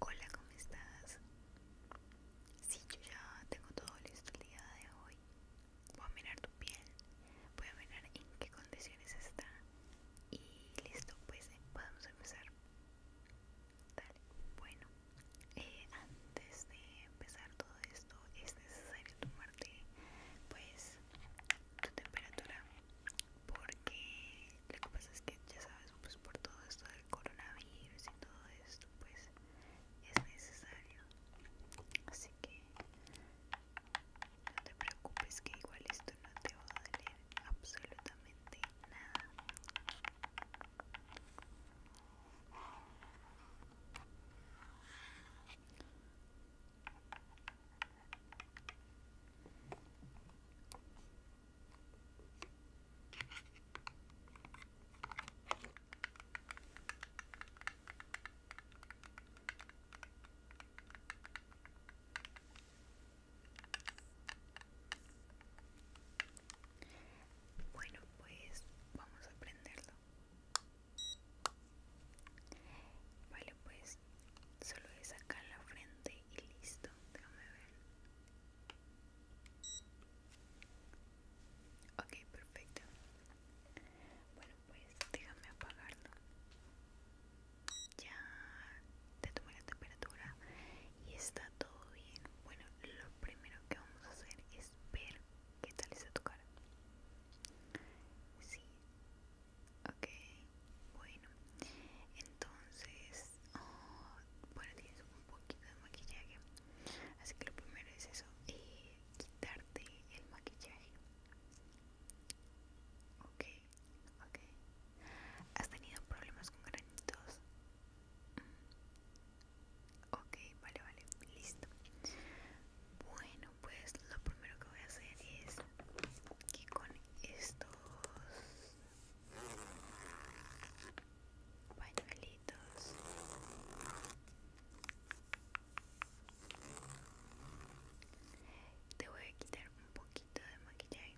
Hola, ¿cómo estás? Sí, yo ya tengo todo listo el día de hoy. Voy a mirar tu piel, voy a mirar en qué condiciones está y listo, pues eh, podemos empezar. Dale, bueno, eh, antes de empezar todo esto es necesario tomarte pues tu temperatura porque lo que pasa es que ya sabes pues por todo esto del coronavirus y todo esto pues es necesario así que no te preocupes que igual esto no te va a doler absolutamente nada bueno, pues vamos a aprenderlo Vale, pues solo es sacar la frente y listo. Déjame ver. Ok, perfecto. Bueno, pues déjame apagarlo. Ya te tomé la temperatura y está todo bien. Bueno, lo primero que vamos a hacer es ver ¿Qué tal está tu cara? Sí. Ok. Bueno. Entonces... Ah, bueno, tienes un poquito de maquillaje. Así que lo primero es eso. Eh, quitarte el maquillaje. Ok. Ok. ¿Has tenido problemas con granitos? Ok, vale, vale, listo. Bueno, pues lo primero que voy a hacer es que con estos pañuelitos te voy a quitar un poquito de maquillaje.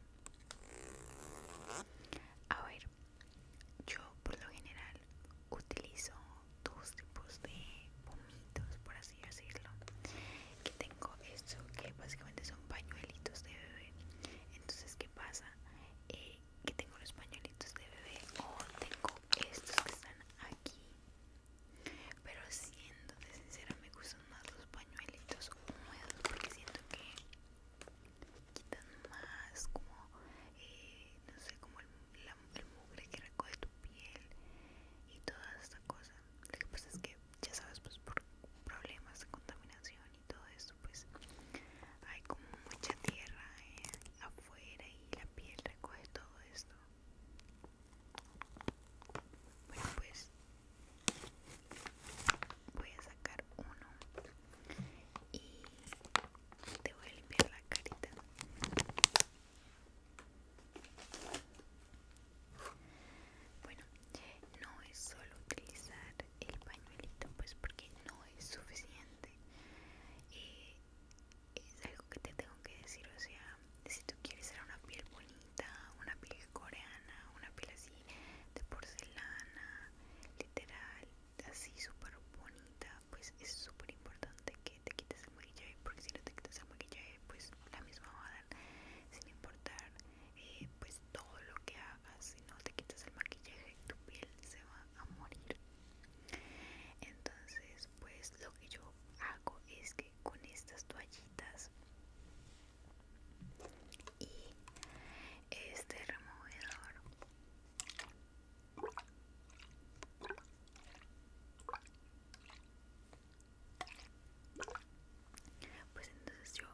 A ver, yo por lo general utilizo dos tipos de pomitos, por así decirlo. Que tengo esto que básicamente son pañuelitos de bebé. Entonces, ¿qué pasa? Eh, que tengo los pañuelitos de bebé o tengo estos que están aquí. Pero de sincera, me gustan más los pañuelitos húmedos porque siento que quitan más como, eh, no sé, como el, el mugre que recoge tu piel y toda esta cosa lo que pasa es que ya sabes pues por problemas de contaminación y todo esto pues hay como mucha tierra eh, afuera y la piel recoge todo esto bueno pues voy a sacar uno y te voy a limpiar la carita bueno, no es solo utilizar el pañuelito, pues porque no es suficiente. Eh, es algo que te tengo que decir, o sea, si tú quieres hacer una piel bonita, una piel coreana, una piel así de porcelana, literal, así súper bonita, pues es súper importante que te quites el maquillaje porque si no te quitas el maquillaje pues la misma va a dar sin importar eh, pues todo lo que hagas si no te quitas el maquillaje tu piel se va a morir entonces pues lo que yo hago es que con estas toallitas y este removedor pues entonces yo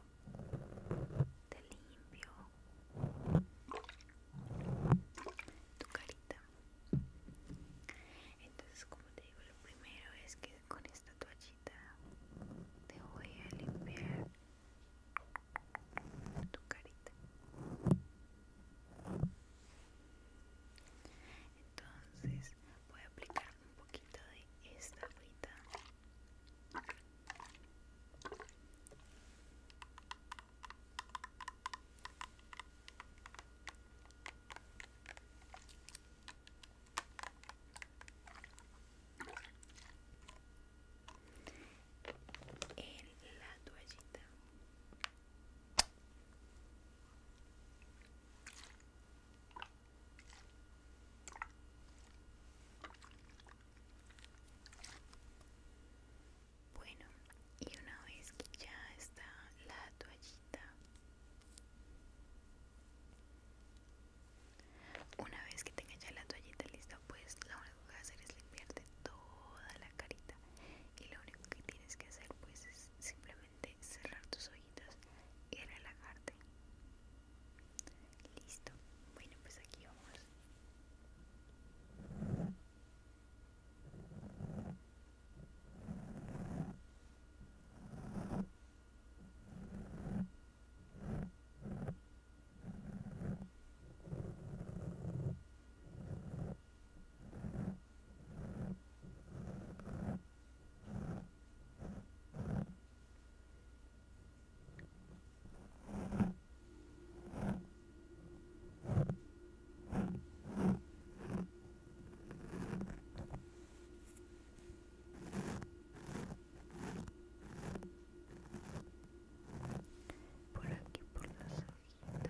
te limpio tu carita. Entonces, como te digo, lo primero es que con esta toallita te voy a limpiar tu carita entonces voy a aplicar un poquito de esta frita en la toallita bueno, y una vez que ya está la toallita, una vez que tenga ya la toallita lista, pues lo único que voy a hacer es limpiarte toda la carita y lo único que tienes que hacer pues es simplemente cerrar tus ojitos y relajarte listo bueno pues aquí vamos por aquí por las y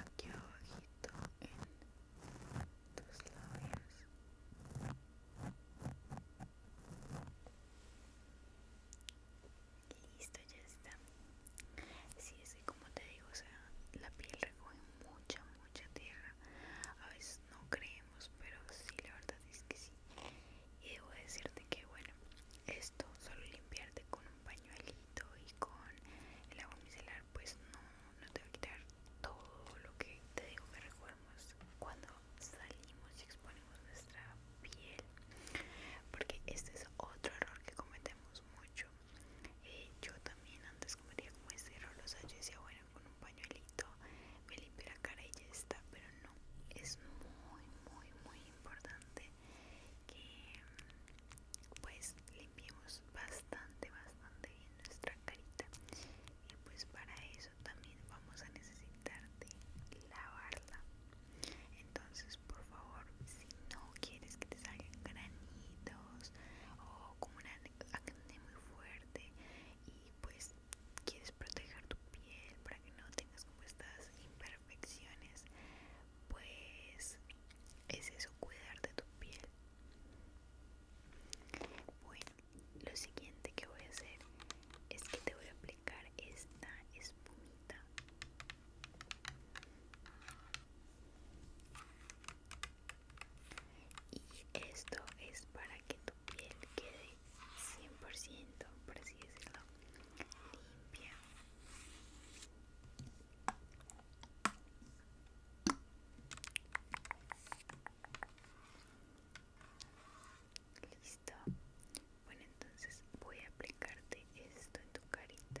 aquí abajito en tus labios listo ya está si sí, es como te digo o sea la piel recoge mucha mucha tierra a veces no creemos pero sí la verdad es que sí y debo decirte que bueno esto solo limpiarte con un pañuelito y con el agua micelar pues no, no te va a quitar todo lo que te digo que recordemos cuando salimos y exponemos nuestra piel porque este es otro error que cometemos mucho eh, yo también antes cometía como este error los sea decía bueno con un pañuelito me limpio la cara y ya está, pero no, es muy, muy, muy importante que pues limpiemos bastante, bastante bien nuestra carita y pues para eso también vamos a necesitar de lavarla. Entonces, por favor, si no quieres que te salgan granitos o como una acné muy fuerte y pues quieres proteger tu piel para que no tengas como estas imperfecciones, pues es eso, cuidar de tu piel. Bueno, lo siguiente que voy a hacer es que te voy a aplicar esta espumita. Y esto es para que piel quede 100%, por así decirlo, limpia. Listo. Bueno, entonces voy a aplicarte esto en tu carita.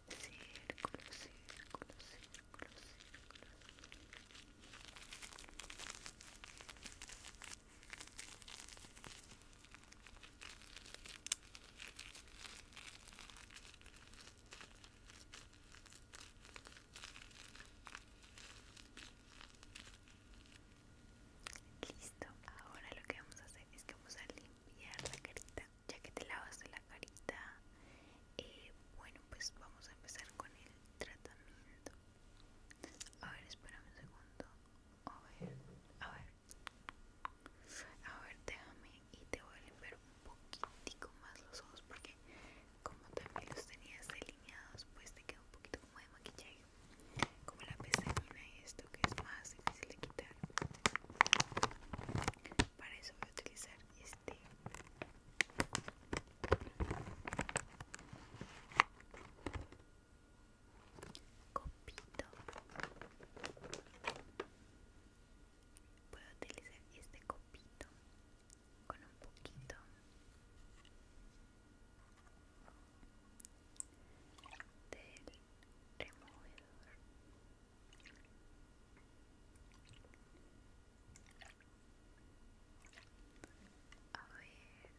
círculo, círculo, Listo, ahora lo que vamos a hacer es que vamos a limpiar la carita ya que te lavas la carita y eh, bueno pues vamos a empezar con el tratamiento a ver espérame un segundo a ver a ver a ver déjame y te voy a limpiar un poquitico más los ojos porque como también los tenías delineados pues te queda un poquito como de maquillaje como la pestañina y esto que es más difícil de quitar para eso voy a utilizar este copito voy a utilizar este copito con un poquito del removedor a ver.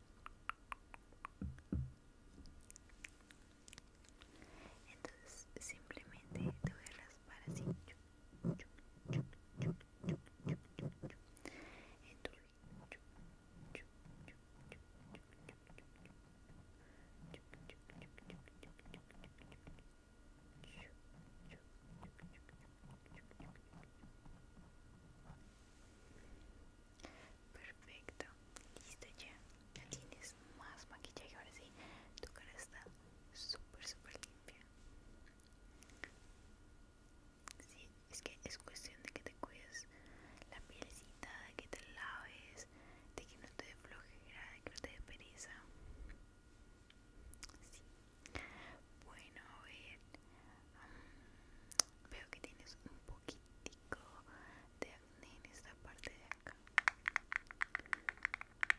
Entonces simplemente te voy a raspar así Perfecto, listo ya. Ya tienes más maquillaje. Ahora sí, tu cara está súper, súper limpia. Sí, es que es cuestión de que te cuides la pielcita de que te laves, de que no te dé flojera, de que no te dé pereza. Sí, bueno, a ver. Mm, veo que tienes un poquitico de acné en esta parte de acá.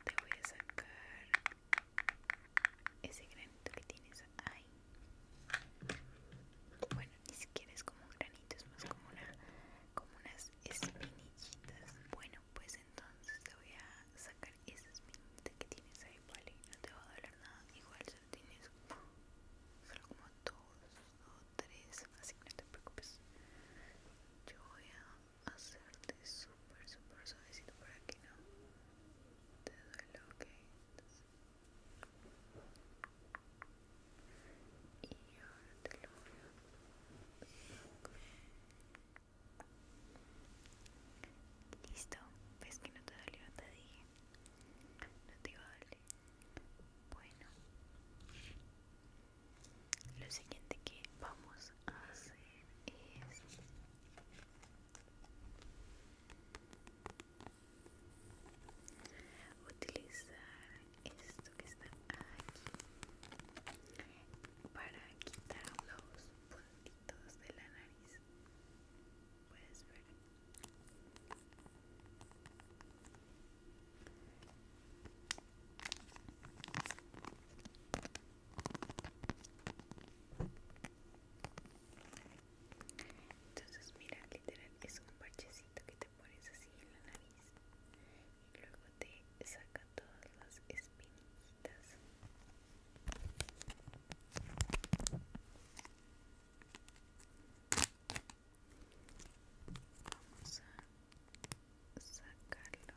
Te voy a sacar ese granito que tienes ahí. Bueno, ni siquiera es como un granito, es más como una como unas espinillitas. Bueno, pues entonces te voy a sacar esas minitas que tienes ahí, ¿vale? No te va a doler nada, igual solo tienes solo como dos o tres, así que no te preocupes. Yo voy a hacerte súper, súper suavecito para que no te duela, ok. Entonces, y ahora te lo voy a Listo, ves que no te dolió, te dije. No te iba a doler. Bueno, lo siguiente que vamos a hacer es. Utilizar esto que está aquí para quitar los puntitos de la nariz puedes ver entonces mira literal es un parchecito que te pones así en la nariz y luego te saca todas las espinillas vamos a sacarlo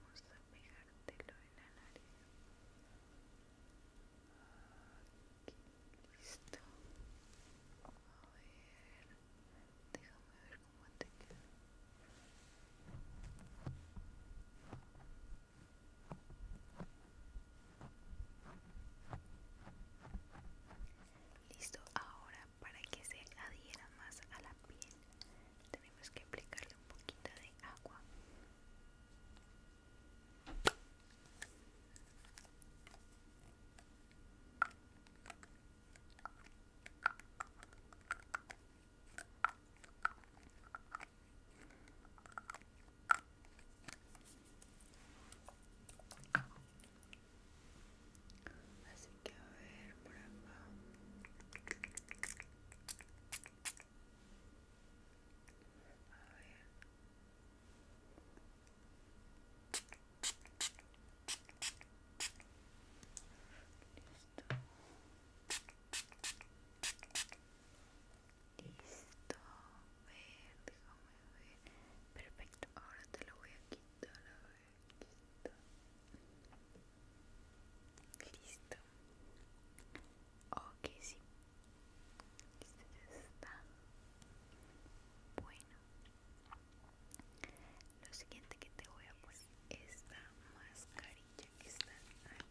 Vamos a pegártelo en la nariz. Aquí, listo. A ver, déjame ver cómo te queda. Listo, ahora para que se adhiera más a la piel tenemos que aplicarle un poquito de agua Así que a ver por acá. A ver. Listo. Listo. ver, déjame ver. Perfecto. Ahora te lo voy a quitar. A ver, aquí Listo. Ok, sí. Listo, está. Bueno. Lo siguiente que te voy a poner es esta mascarilla que está aquí.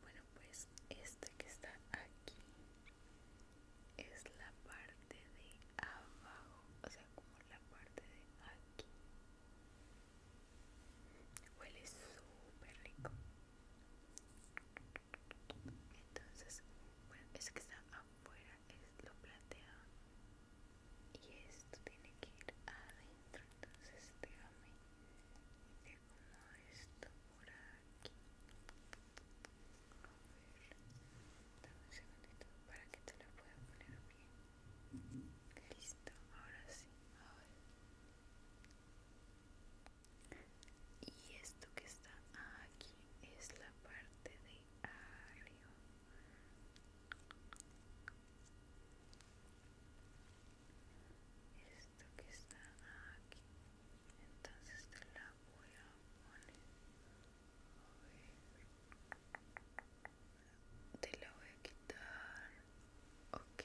Bueno, pues este que está aquí es la parte de abajo, o sea, como la parte de aquí. Huele súper rico entonces bueno es que está afuera es lo plateado y esto tiene que ir adentro entonces déjame te acomodo esto por aquí a ver dame un segundito para que te lo pueda poner bien listo ahora sí a ver y esto que está aquí es la parte de arriba esto que está aquí entonces te la voy a poner te la voy a quitar ok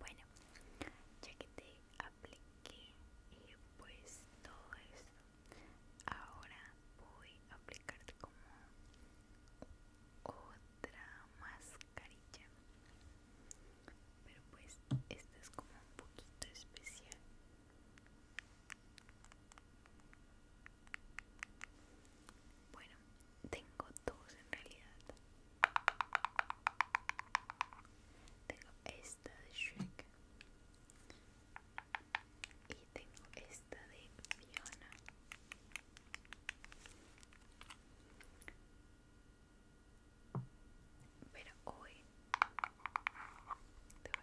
Bueno, ya que te apliqué y eh, pues todo esto, ahora voy a aplicar como otra mascarilla. Pero pues esta es como un poquito especial. Bueno, tengo dos en realidad. Tengo esta de Shrek y tengo esta de Fiona. Pero hoy te voy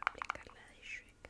a aplicar la de Shrek.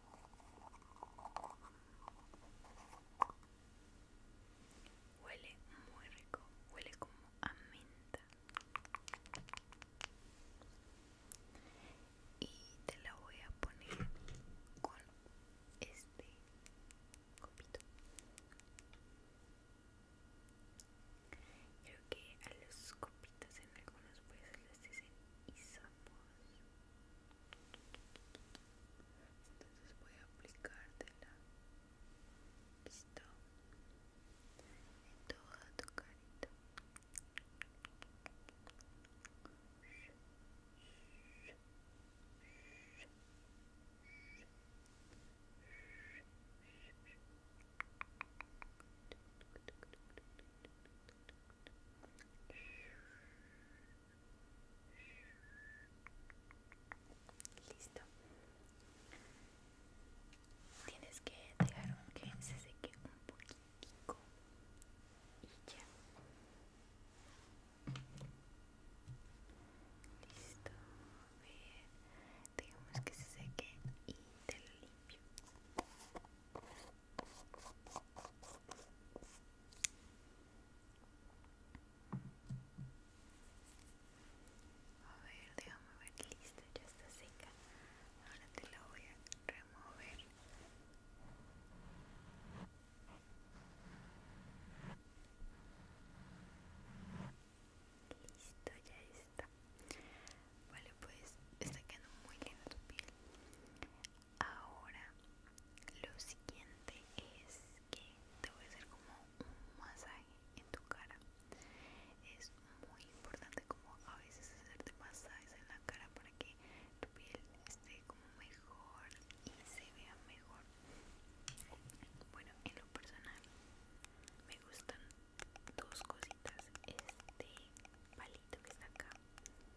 Huele muy rico, huele como a menta. Y te la voy a poner con este copito. Creo que a los copitos en algunos veces les dicen isopos entonces voy a la listo en toda tu carita Listo. Tienes que dejar que se seque un poquito. y ya. Listo. ver Dejamos que se seque y te lo limpio. A ver, déjame ver, listo, ya está seca. Ahora te la voy a remover. Listo, ya está. Vale, pues está quedando muy linda tu piel. Ahora, lo siguiente es que te voy a hacer como un masaje en tu cara. Es muy importante como a veces hacerte masajes en la cara para que tu piel esté como mejor y se vea mejor. Bueno, en lo personal me gustan dos cositas. Este palito que está acá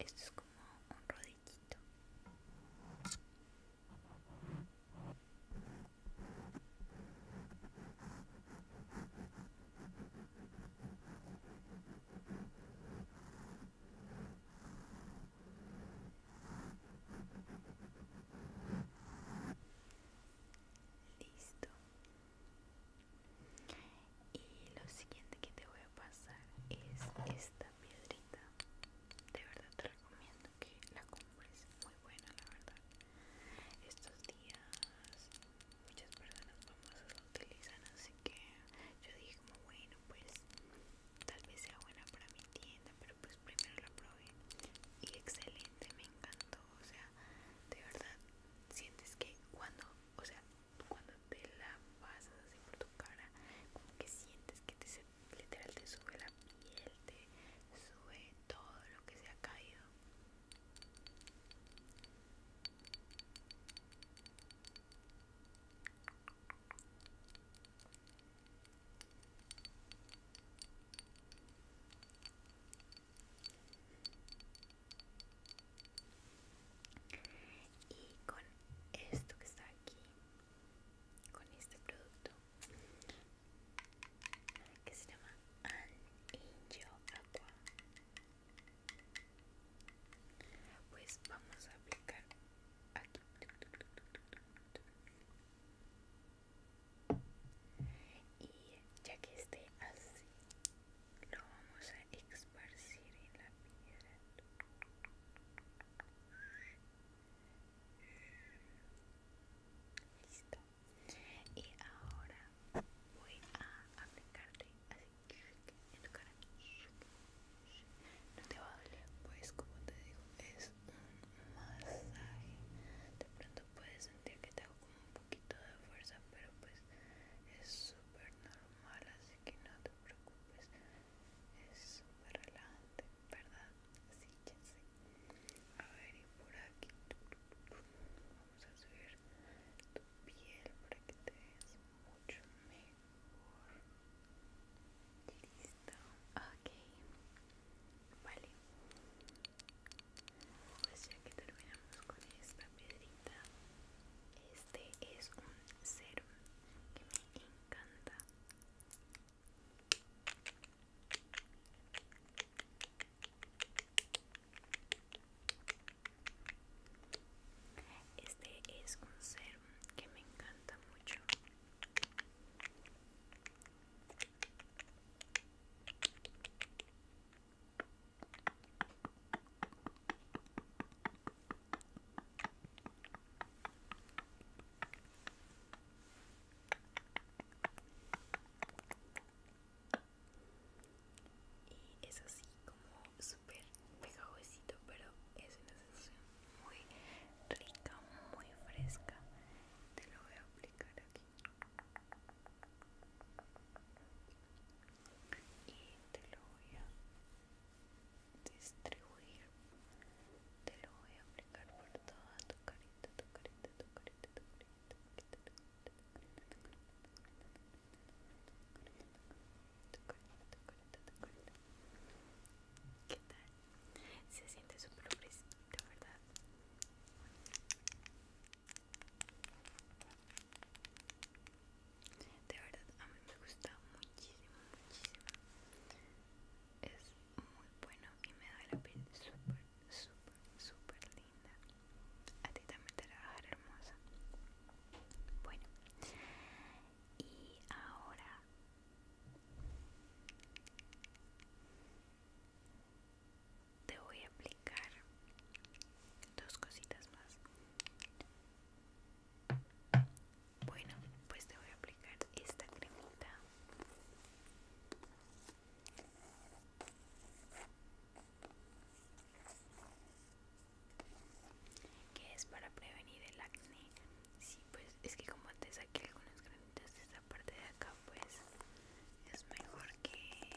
Esto es como un rodillito. Listo, y lo siguiente que te voy a pasar es esta piedrita. De verdad te recomiendo que la compres, muy buena la verdad. Estos días muchas personas famosas la utilizan, así que yo dije como bueno, pues tal vez sea buena para mi tienda, pero pues primero la probé y excelente, me encantó, o sea, de verdad sientes que cuando o sea, cuando te la pasas así por tu cara, como que sientes que te se, literal te sube la piel, te sube todo lo que se ha caído y con esto que está aquí con este producto que se llama Angel Aqua pues vamos a aplicar aquí y ya que esté así lo vamos a esparcir en la piedra listo y ahora voy a aplicarte así en tu cara no te va a doler pues como te digo es un masaje de pronto puedes sentir que te hago como un poquito de fuerza pero pues es súper normal así que no te preocupes es súper relajante verdad sí que sí a ver y por aquí vamos a subir tu piel para que te veas mucho mejor listo ok vale pues ya que terminamos con esta piedrita este es un serum que me encanta este es un serum que me encanta mucho y es así como súper pegajosito, pero es una sensación muy rica, muy fresca. Te lo voy a aplicar aquí y te lo voy a distribuir te lo voy a aplicar por toda tu carita tu carita tu carita tu carita ¿Qué tal? Se siente súper fresco, de verdad. De verdad, a mí me gusta muchísimo, muchísimo. Es muy bueno y me da la piel súper, súper, súper linda. A ti también te la va a dar hermosa. Bueno, y ahora te voy a aplicar dos cositas más bueno pues te voy a aplicar esta cremita que es para prevenir el acné sí pues es que como te saqué algunas granitos de esta parte de acá pues es mejor que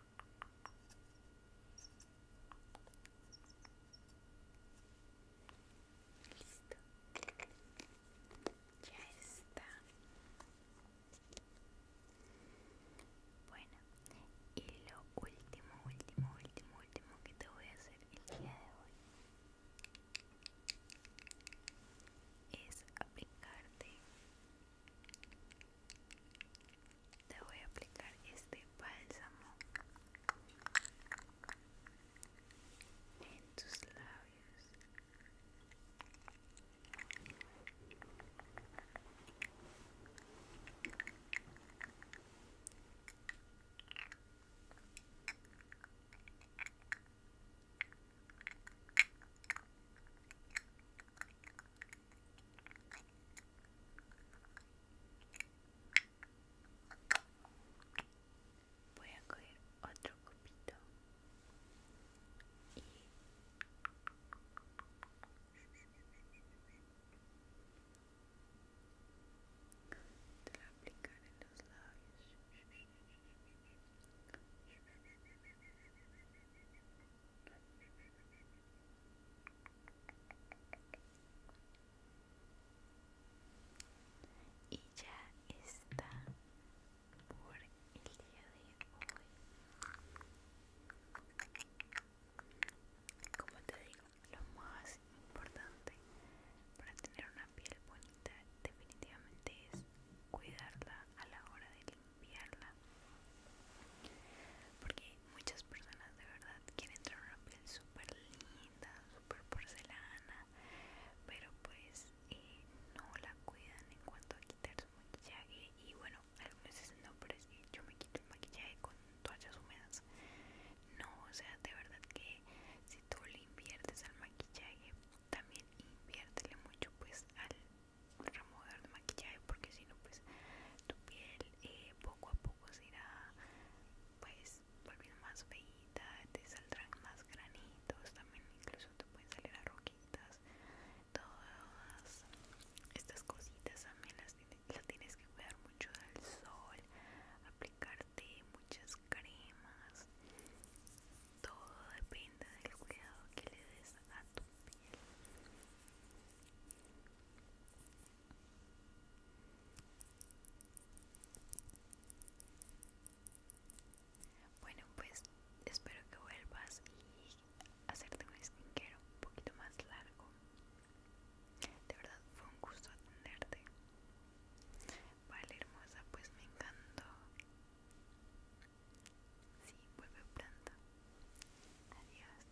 Listo. Ya está. Bueno, y lo último, último, último, último que te voy a hacer el día de hoy es aplicarte te voy a aplicar este bálsamo en tus labios. Voy a coger otro copito y te lo aplicar en los labios. Y ya está por el día de hoy. Como te digo, lo más importante para tener una piel bonita definitivamente es cuidarla a la hora de limpiarla porque muchas personas de verdad quieren tener una piel súper linda súper porcelana pero pues eh, no la cuidan en cuanto a quitar su maquillaje y bueno algunas dicen no pero es que yo me quito el maquillaje con toallas húmedas no o sea de verdad que si tú le inviertes al maquillaje también inviértele mucho pues al remover de maquillaje porque si no pues tu piel eh, poco a poco se pues volviendo más feita te saldrán más granitos también incluso te pueden salir roquitas todas estas cositas también las, las tienes que cuidar mucho del sol aplicarte muchas cremas todo depende del cuidado que le des a tu piel bueno, pues espero que vuelvas y hacerte un skincare un poquito más largo. De verdad fue un gusto atenderte. Vale, hermosa, pues me encantó. Sí, vuelve pronto. Adiós.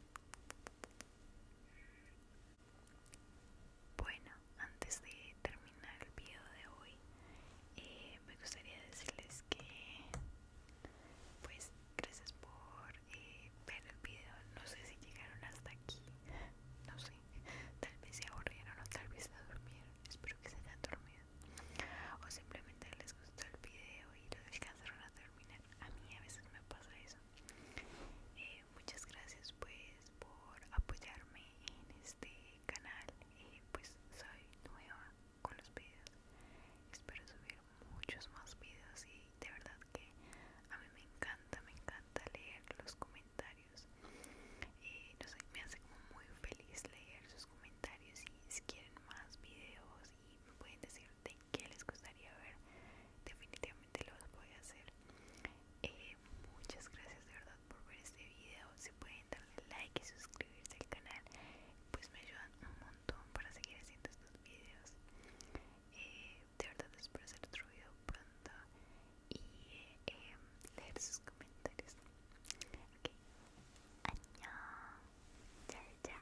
Bueno, antes de terminar el video de hoy, eh, me gustaría decirles que, pues, gracias por eh, ver el video. No sé si llegaron hasta aquí, no sé, tal vez se aburrieron o tal vez se durmieron. Espero que se hayan dormido. O simplemente les gustó el video y lo descansaron hasta a mí a veces me pasa eso. Eh, muchas gracias pues por apoyarme en este canal. Eh, pues soy nueva con los videos. Espero subir muchos más videos y de verdad que a mí me encanta, me encanta leer los comentarios. Eh, no sé, me hace como muy feliz leer sus comentarios y si quieren más videos y me pueden decir que les gustaría ver definitivamente los voy a hacer eh, muchas gracias de verdad por ver este video si pueden darle like y suscribirse al canal pues me ayudan un montón para seguir haciendo estos videos eh, de verdad espero hacer otro video pronto y eh, em, leer sus comentarios ok chao